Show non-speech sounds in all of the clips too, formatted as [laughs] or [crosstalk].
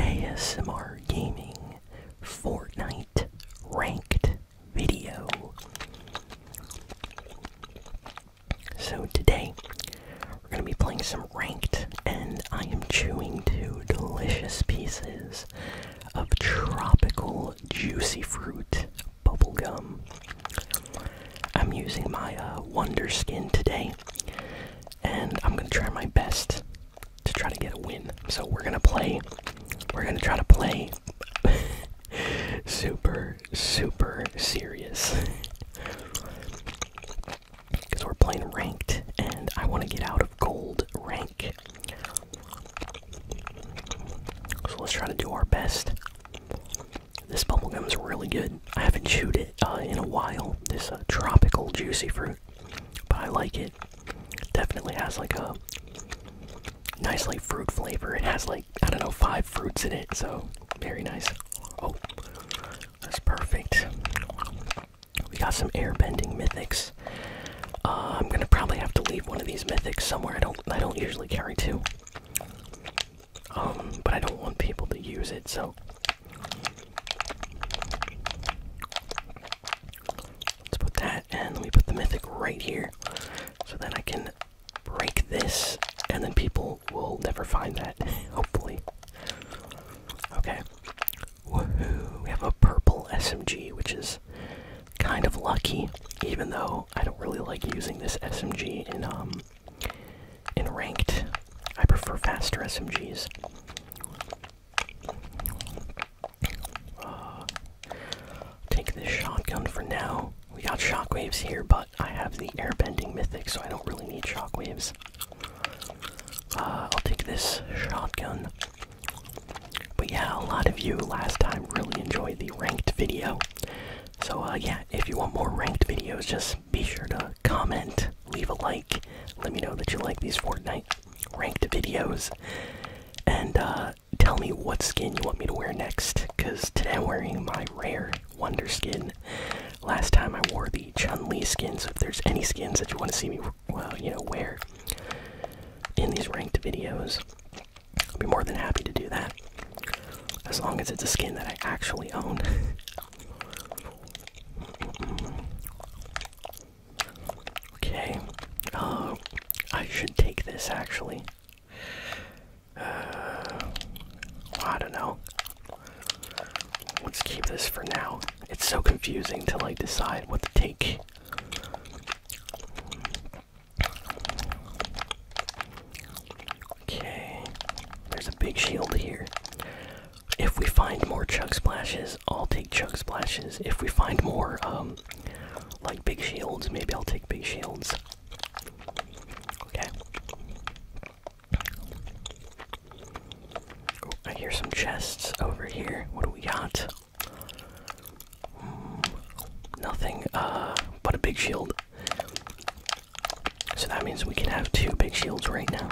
ASMR Gaming Fortnite Ranked video. So today, we're going to be playing some ranked, and I am chewing two delicious pieces of tropical juicy fruit bubblegum. I'm using my uh, Wonder Skin today, and I'm going to try my best to try to get a win. So we're gonna play. We're gonna try to play [laughs] super, super serious. Because [laughs] we're playing ranked and I want to get out of gold rank. So let's try to do our best. This bubble gum is really good. I haven't chewed it uh, in a while. This uh, tropical juicy fruit but I like it. Definitely has like a nice like fruit flavor. It has like I don't know five fruits in it, so very nice. Oh, that's perfect. We got some airbending mythics. Uh, I'm gonna probably have to leave one of these mythics somewhere. I don't I don't usually carry two. Um, but I don't want people to use it, so Let's put that and let me put the mythic right here so that I can break this and then people will never find that, [laughs] hopefully. Okay. Woohoo! We have a purple SMG, which is kind of lucky, even though I don't really like using this SMG in um in ranked. I prefer faster SMGs. Uh, take this shotgun for now. We got shockwaves here, but I have the airbending mythic, so I don't really need shockwaves. Uh, I'll take this shotgun. But yeah, a lot of you last time really enjoyed the ranked video. So uh, yeah, if you want more ranked videos, just be sure to comment, leave a like, let me know that you like these Fortnite ranked videos, and uh, tell me what skin you want me to wear next. Because today I'm wearing my rare Wonder skin. Last time I wore the Chun Li skin, so if there's any skins that you want to see me, well, uh, you know, wear in these ranked videos, I'll be more than happy to do that. As long as it's a skin that I actually own. [laughs] Okay. Uh, I should take this actually. Uh, I don't know. Let's keep this for now. It's so confusing to like decide what to take. Okay. There's a big shield here. If we find more chug splashes, I'll take chug splashes. If we find more, um, like big shields, maybe I'll take big shields. Okay. I hear some chests over here. What do we got? Hmm, nothing, uh, but a big shield. So that means we can have two big shields right now.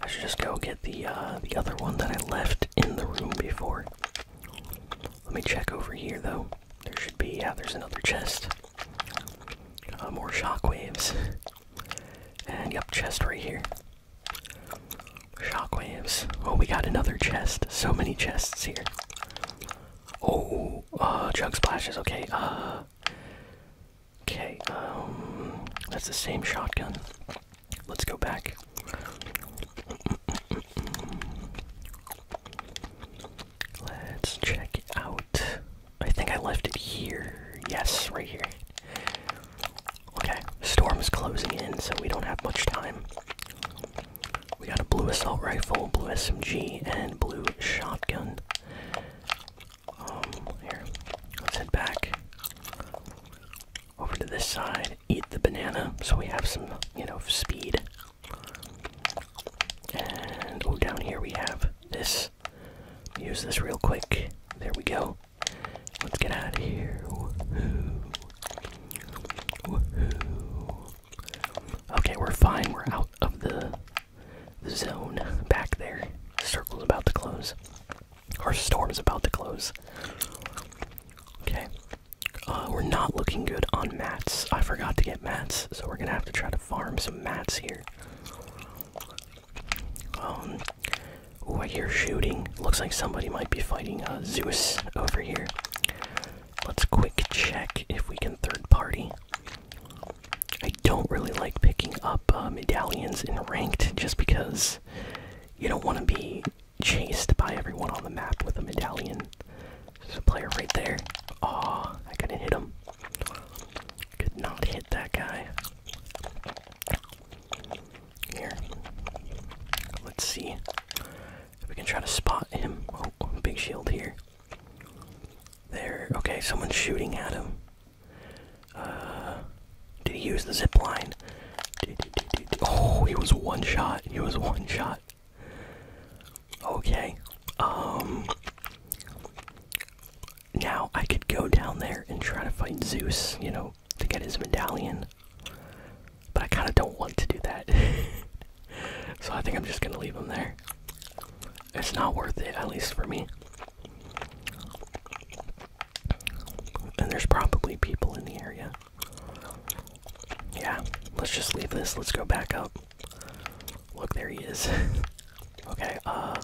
I should just go get the uh, the other one that I left in the room before. Let me check over here though. There should be yeah. There's another chest. Uh, more shockwaves. And yep, chest right here. Shockwaves. Oh, we got another chest. So many chests here. Oh, uh, jug splashes. Okay. Uh, Okay, um, that's the same shotgun. Let's go back. Let's check out. I think I left it here. Yes, right here. Okay, Storm is closing in, so we don't have much time. We got a blue assault rifle, blue SMG, and blue shotgun. Um, here, let's head back over to this side, eat the banana so we have some, you know, speed. And oh, down here we have this. Use this real quick. There we go. Let's get out of here. Okay, we're fine. We're out of the, zone back there. circle's about to close. Our storm is about to close. Okay. Uh, we're not looking good on mats. I forgot to get mats, so we're gonna have to try to farm some mats here. Um, ooh, I hear shooting. Looks like somebody might be fighting uh, Zeus over here. Let's quick check if we can third party. I don't really like picking up uh, medallions in ranked just because you don't want to be chased by everyone on the map with a medallion. There's a player right there. Aw, oh, I couldn't hit him. Could not hit that guy. Here. Let's see. If we can try to spot him. Oh, big shield here. There. Okay, someone's shooting at him. Uh, did he use the zip line? Oh, he was one shot. He was one shot. Okay. Um. Now I could go down there and try to fight Zeus, you know, to get his medallion. But I kind of don't want to do that. [laughs] so I think I'm just going to leave him there. It's not worth it, at least for me. And there's probably people in the area. Yeah, let's just leave this. Let's go back out. Look, there he is. [laughs] okay, uh.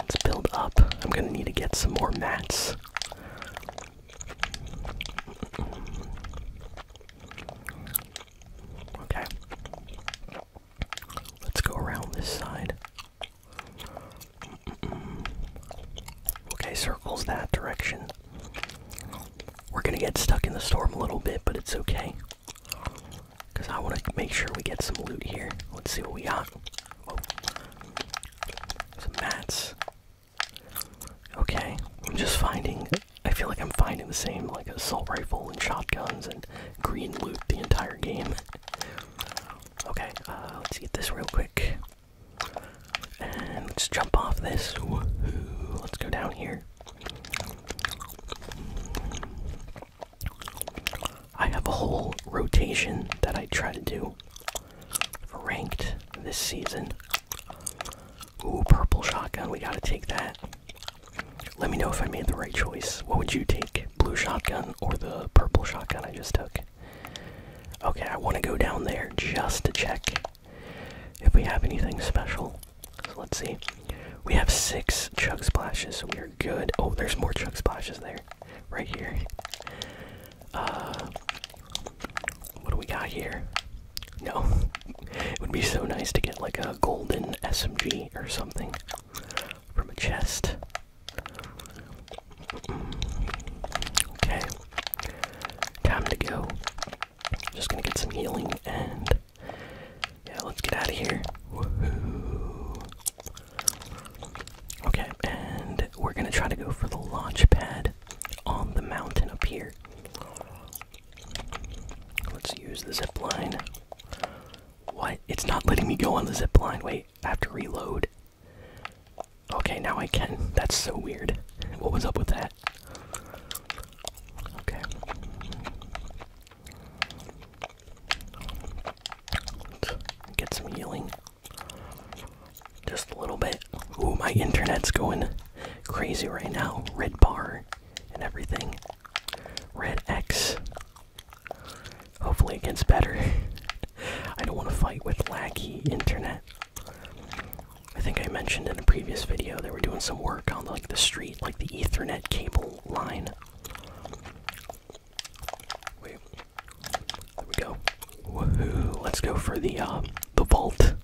Let's build up. I'm gonna need to get some more mats. Okay. Let's go around this side. Okay, circles that direction. We're gonna get stuck in the storm a little bit, but it's okay. Because I want to make sure we get some loot here. Let's see what we got. Oh. Some mats. Okay, I'm just finding. I feel like I'm finding the same, like assault rifle and shotguns and green loot the entire game. Okay, uh, let's eat this real quick. And let's jump off this. Let's go down here. I have a whole rotation that I try to do ranked this season. Ooh, purple shotgun. We gotta take that. Let me know if I made the right choice. What would you take? Blue shotgun or the purple shotgun I just took? Okay, I want to go down there just to check if we have anything special. So let's see. We have six chug splashes, so we're good. Oh, there's more chug splashes there. Right here. Uh what do we got here? No. it would be so nice to get like a golden SMG or something from a chest. Okay. Time to go. Just gonna get some healing and yeah, let's get out of here. Okay, and we're gonna try to go for the launch pad on the mountain up here. Let's use the zip line. What? It's not letting me go on the zip line. Wait, I have to reload. Okay, now I can. That's so weird. What was up with that? Okay. get some healing. Just a little bit. Ooh, my internet's going crazy right now. Red bar and everything. Red X. Hopefully it gets better. [laughs] I don't want to fight with laggy internet. I think I mentioned in a previous video that we're doing some work on like the street, like the Ethernet cable line. Wait, there we go. Woohoo! Let's go for the uh, the vault.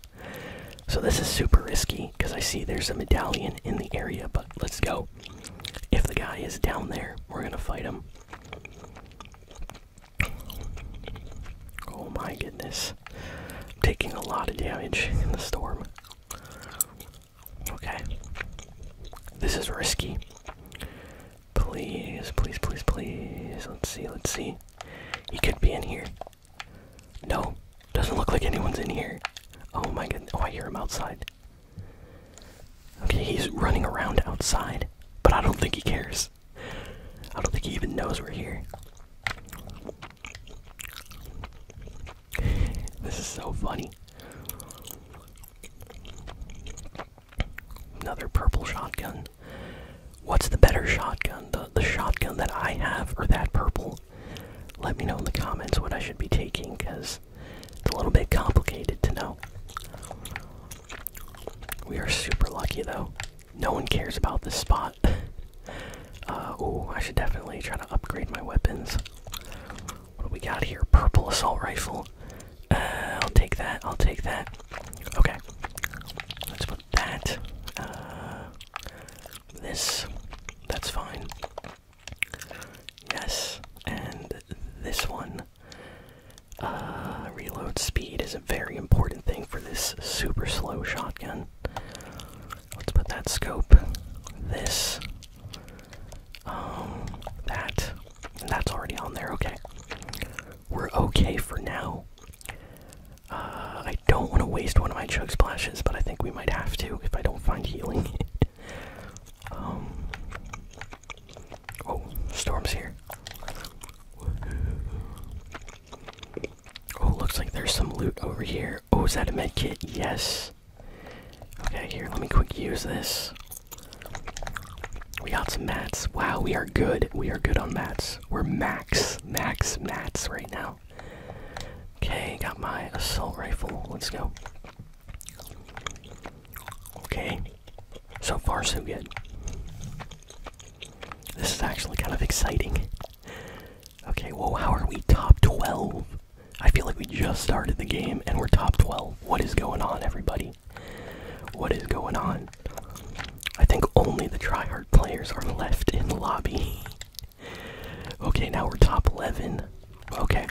So this is super risky because I see there's a medallion in the area, but let's go. If the guy is down there, we're gonna fight him. Oh my goodness. taking a lot of damage in the storm. Okay. This is risky. Please, please, please, please. Let's see, let's see. He could be in here. No, doesn't look like anyone's in here. Oh my god. Oh, I hear him outside. Okay, he's running around outside, but I don't think he cares. I don't think he even knows we're here. This is so funny. Another purple shotgun. What's the better shotgun? The, the shotgun that I have or that purple? Let me know in the comments what I should be taking because it's a little bit complicated to know. We are super lucky though. No one cares about this spot. [laughs] Uh, oh, I should definitely try to upgrade my weapons. What do we got here? Purple assault rifle. Uh, I'll take that. I'll take that. Okay. Let's put that. Uh, this. That's fine. Yes. And this one. Uh, reload speed is a very important thing for this super slow shotgun. Let's put that scope, this, um, that, that's already on there. Okay, we're okay for now. Uh, I don't want to waste one of my chug splashes, but I think we might have to if I don't find healing. [laughs] Um, Oh, storm's here. Oh, looks like there's some loot over here. Oh, is that a med kit? Yes. Okay, here, let me quick use this. We got some mats. Wow, we are good. We are good on mats. We're max, max mats right now. Okay, got my assault rifle. Let's go. Okay, so far so good. This is actually kind of exciting. Okay, Whoa. how are we top 12? I feel like we just started the game and we're top 12. What is going on, everybody? What is going on? I think only the tryhard players are left in the lobby. okay, now we're top 11. Okay.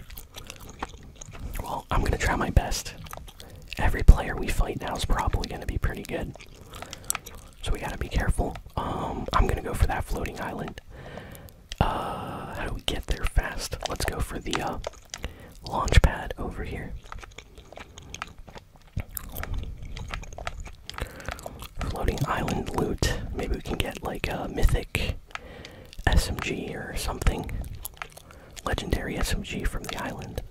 Well, I'm gonna try my best every player we fight now is probably going to be pretty good. So we gotta be careful. Um, I'm gonna go for that floating island. Uh, how do we get there fast? Let's go for the uh, launch pad over here. Floating island loot. Maybe we can get like a mythic SMG or something. Legendary SMG from the island.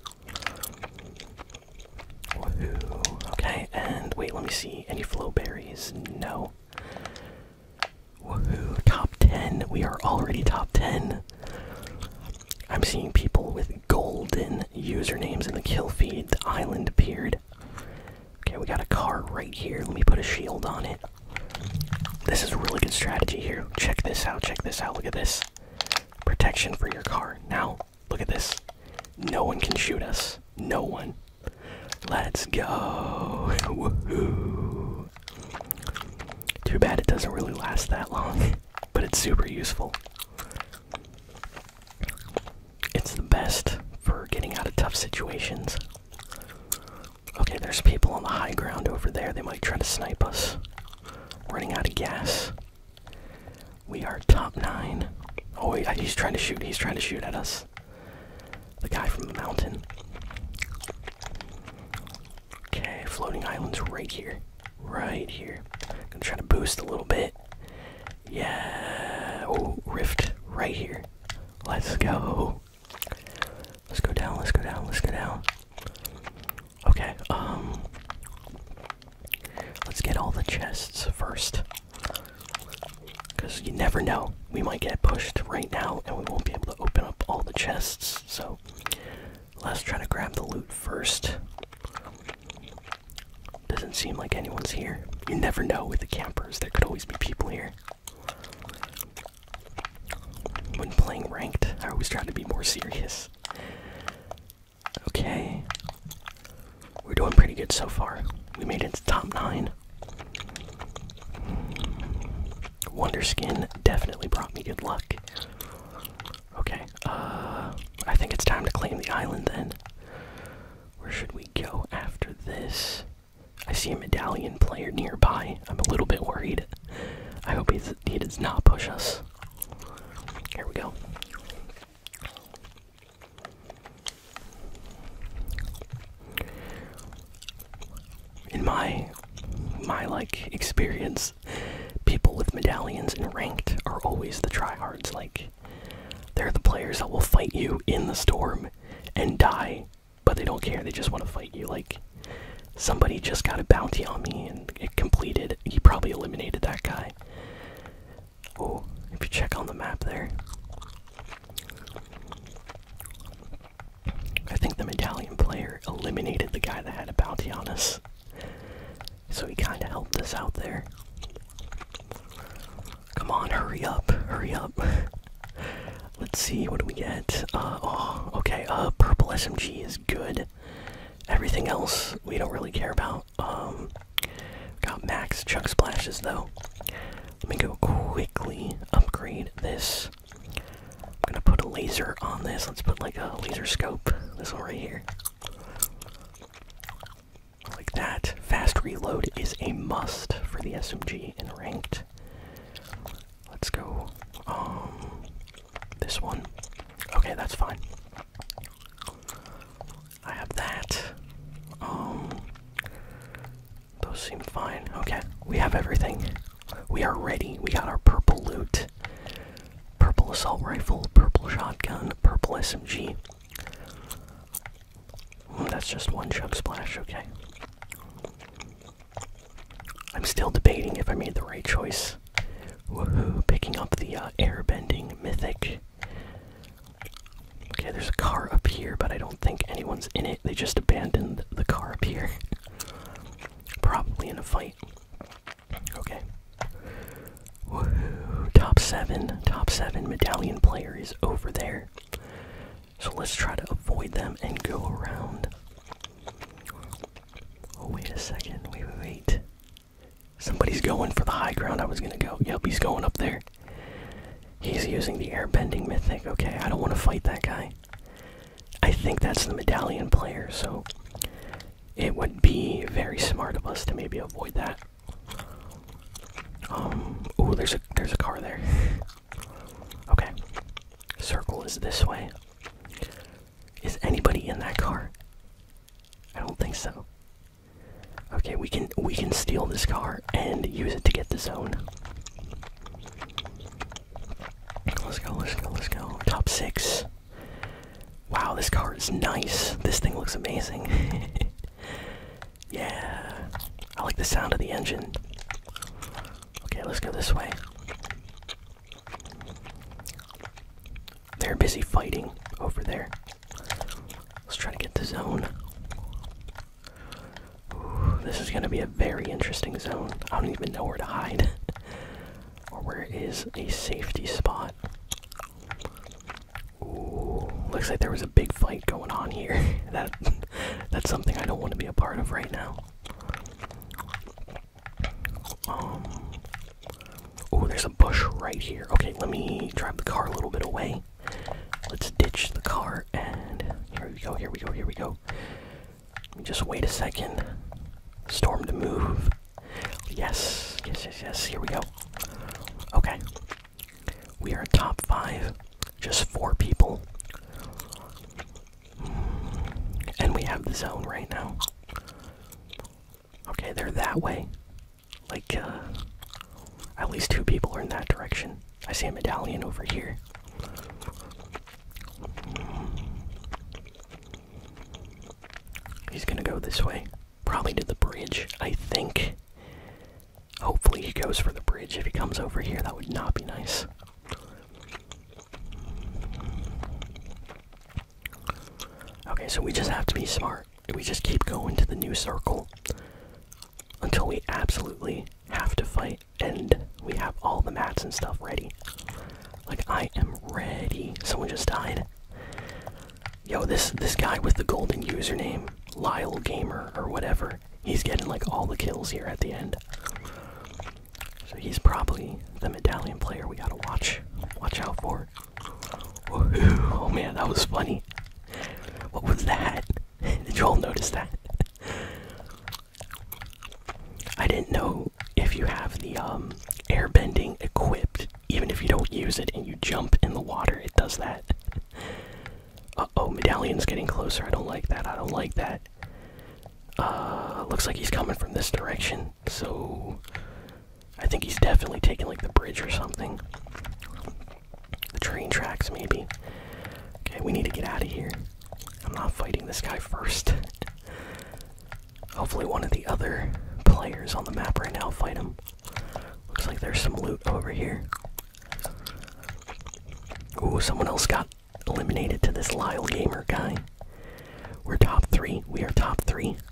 Okay, and wait, let me see. Any flow berries? No. Woohoo. Top 10. We are already top 10. I'm seeing people with golden usernames in the kill feed. The island appeared. Okay, we got a car right here. Let me put a shield on it. This is a really good strategy here. Check this out, check this out. Look at this. Protection for your car. Now, look at this. No one can shoot us. No one. Let's go. [laughs] Too bad it doesn't really last that long, [laughs] but it's super useful. It's the best for getting out of tough situations. Okay, there's people on the high ground over there. They might try to snipe us. Running out of gas. We are top nine. Oh, he's trying to shoot. He's trying to shoot at us. The guy from the mountain. Okay, floating island's right here. Right here. Gonna try to boost a little bit. Yeah. Oh, rift right here. Let's go. Let's go down. Let's go down. Let's go down. Okay, um. Let's get all the chests first. Because you never know. We might get pushed right now and we won't be able to open up all the chests. So let's try to grab the loot first. Doesn't seem like anyone's here. You never know with the campers, there could always be people here. When playing ranked, I always try to be more serious. Okay. We're doing pretty good so far. We made it to top 9. Wonder Skin definitely brought me good luck. Okay, uh, I think it's time to claim the island then. Where should we go after this? I see a medallion player nearby. I'm a little bit worried. I hope he's does he does not push us. Here we go. In my my like experience, people with medallions and ranked are always the tryhards. Like they're the players that will fight you in the storm and die, but they don't care. They just want to fight you. Like somebody just got a bounty on me and it completed. He probably eliminated that guy. Oh, if you check on the map there. I think the medallion player eliminated the guy that had a bounty on us. So he kinda helped us out there. Come on, hurry up, hurry up. [laughs] Let's see, what do we get? Uh, oh, okay, uh, purple SMG is good. Everything else we don't really care about. Um, got max chuck splashes though. Let me go quickly upgrade this. I'm gonna put a laser on this. Let's put like a laser scope. This one right here. Like that. Fast reload is a must for the SMG in ranked. Let's go. Um, this one. Okay, that's fine. I have that. Um those seem fine. Okay, we have everything. We are ready. We got our purple loot. Purple assault rifle, purple shotgun, purple SMG. Hmm, that's just one chug splash, okay. I'm still debating if I made the right choice. Woohoo! Picking up the uh, airbending mythic. Okay, there's a car up here, but I don't think anyone's in it. They just abandoned the car up here. [laughs] Probably in a fight. Okay. Woohoo! Top seven. Top seven medallion player is over there. So let's try to avoid them and go around. Oh, wait a second. Wait, wait, wait. Somebody's going for the high ground I was gonna go. Yep, he's going up there. He's using the air airbending mythic. Okay, I don't want to fight that guy. I think that's the medallion player, so it would be very smart of us to maybe avoid that. Um oh there's a there's a car there. [laughs] Okay. Circle is this way. Is anybody in that car? I don't think so. Okay, we can we can steal this car and use it to get the zone. Let's go, let's go, let's go. Top six. Wow, this car is nice. This thing looks amazing. [laughs] yeah. I like the sound of the engine. Okay, let's go this way. They're busy fighting over there. Let's try to get the zone. this is going to be a very interesting zone. I don't even know where to hide [laughs] or where is a safety spot. looks like there was a big fight going on here. [laughs] that [laughs] that's something I don't want to be a part of right now. Oh, there's a bush right here. Okay, let me drive the car a little bit away. Let's ditch the car and here we go. Here we go. Here we go. Just wait a second. Storm to move. Yes. Yes. Yes. Yes. Here we go. Okay. We are top five. Just four people. And we have the zone right now. Okay, they're that way. Like, uh, at least two people are in that direction. I see a medallion over here. He's gonna go this way. Probably to the bridge, I think. Hopefully, he goes for the bridge. If he comes over here, that would not be nice. Okay, so we just have to be smart. We just keep going to the new circle until we absolutely have to fight and we have all the mats and stuff ready. Like I am ready. Someone just died. Yo, this this guy with the golden username, Lyle Gamer or whatever, he's getting like all the kills here at the end. So he's probably the medallion player we gotta watch watch out for. Oh man, that was funny. What was that? [laughs] Did you all notice that? I didn't know if you have the um, airbending equipped, even if you don't use it and you jump in the water, it does that. [laughs] Uh oh, medallion's getting closer. I don't like that. I don't like that. Uh, looks like he's coming from this direction, so I think he's definitely taking like the bridge or something. The train tracks, maybe. Okay, we need to get out of here. I'm not fighting this guy first. Hopefully, one of the other players on the map right now fight him. Looks like there's some loot over here. Ooh, someone else got eliminated to this Lyle Gamer guy. We're top three. We are top three. [sighs]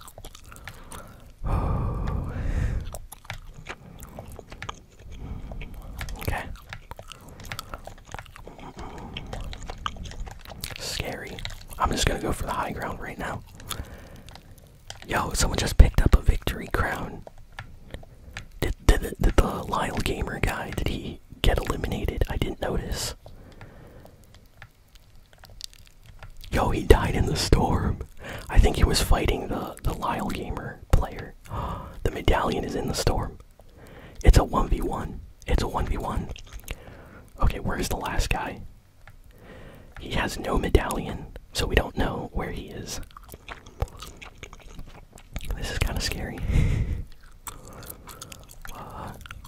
Okay. Scary. I'm just gonna go for the high ground right now. Yo, someone just picked up a victory crown. Did did, did the Lyle Gamer guy? Did he get eliminated. I didn't notice. Yo, he died in the storm. I think he was fighting the the Lyle Gamer player. [gasps] the medallion is in the storm. It's a 1v1. It's a 1v1. Okay, where's the last guy? He has no medallion, so we don't know where he is. This is kind of scary. [laughs]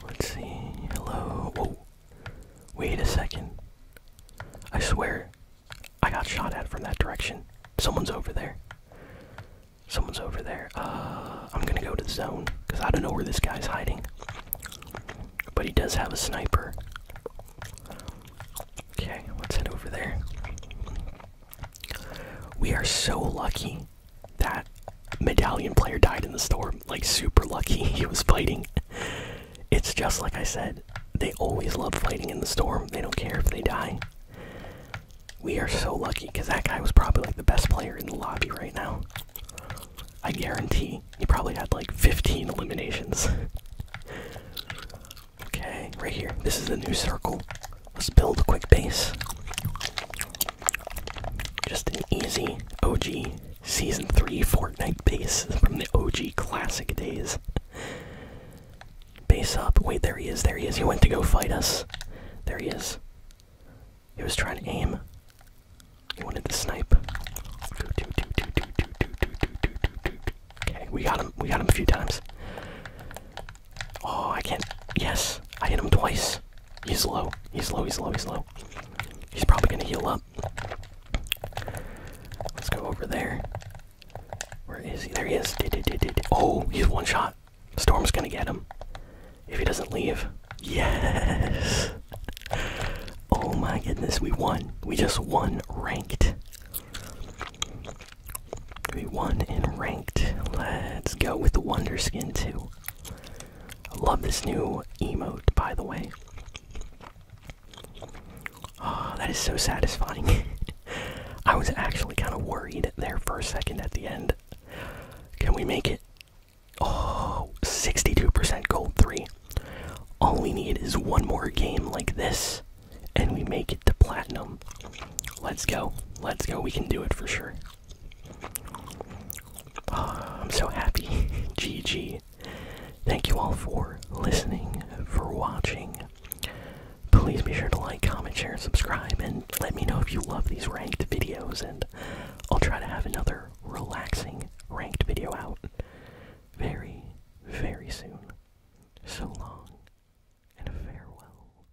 let's see. Hello. Oh, Wait a second. I swear, I got shot at from that direction. Someone's over there. Someone's over there. Uh, I'm gonna go to the zone because I don't know where this guy's hiding. But he does have a sniper. Okay, let's head over there. We are so lucky that medallion player died in the storm. Like, super lucky [laughs] he was fighting. It's just like I said, they always love fighting in the storm. They don't care if they die. We are so lucky because that guy was probably like the best player in the lobby right now. I guarantee he probably had like 15 eliminations. [laughs] okay, right here. This is the new circle. Let's build a quick base. Just an easy OG Season 3 Fortnite base from the OG Classic days. Base up. Wait, there he is, there he is. He went to go fight us. There he is. He was trying to aim. He wanted to snipe. Okay, we got him. We got him a few times. Oh, I can't. Yes, I hit him twice. He's low. He's low. He's low. He's low. He's probably gonna heal up. Let's go over there. Where is he? There he is. Oh, he's one shot. Storm's gonna get him. If he doesn't leave. Yes! Oh my goodness, we won. We just won ranked. We won in ranked. Let's go with the Wonder Skin too. Love this new emote, by the way. Oh, that is so satisfying. [laughs] I was actually kind of worried there for a second at the end. Can we make it? Oh, 62% gold 3. All we need is one more game like this, and we make it to platinum. Let's go. Let's go. We can do it for sure. I'm so happy. GG. [laughs] Thank you all for listening, for watching. Please be sure to like, comment, share, subscribe, and let me know if you love these ranked videos, and I'll try to have another relaxing ranked video out very, very soon. So long, and farewell.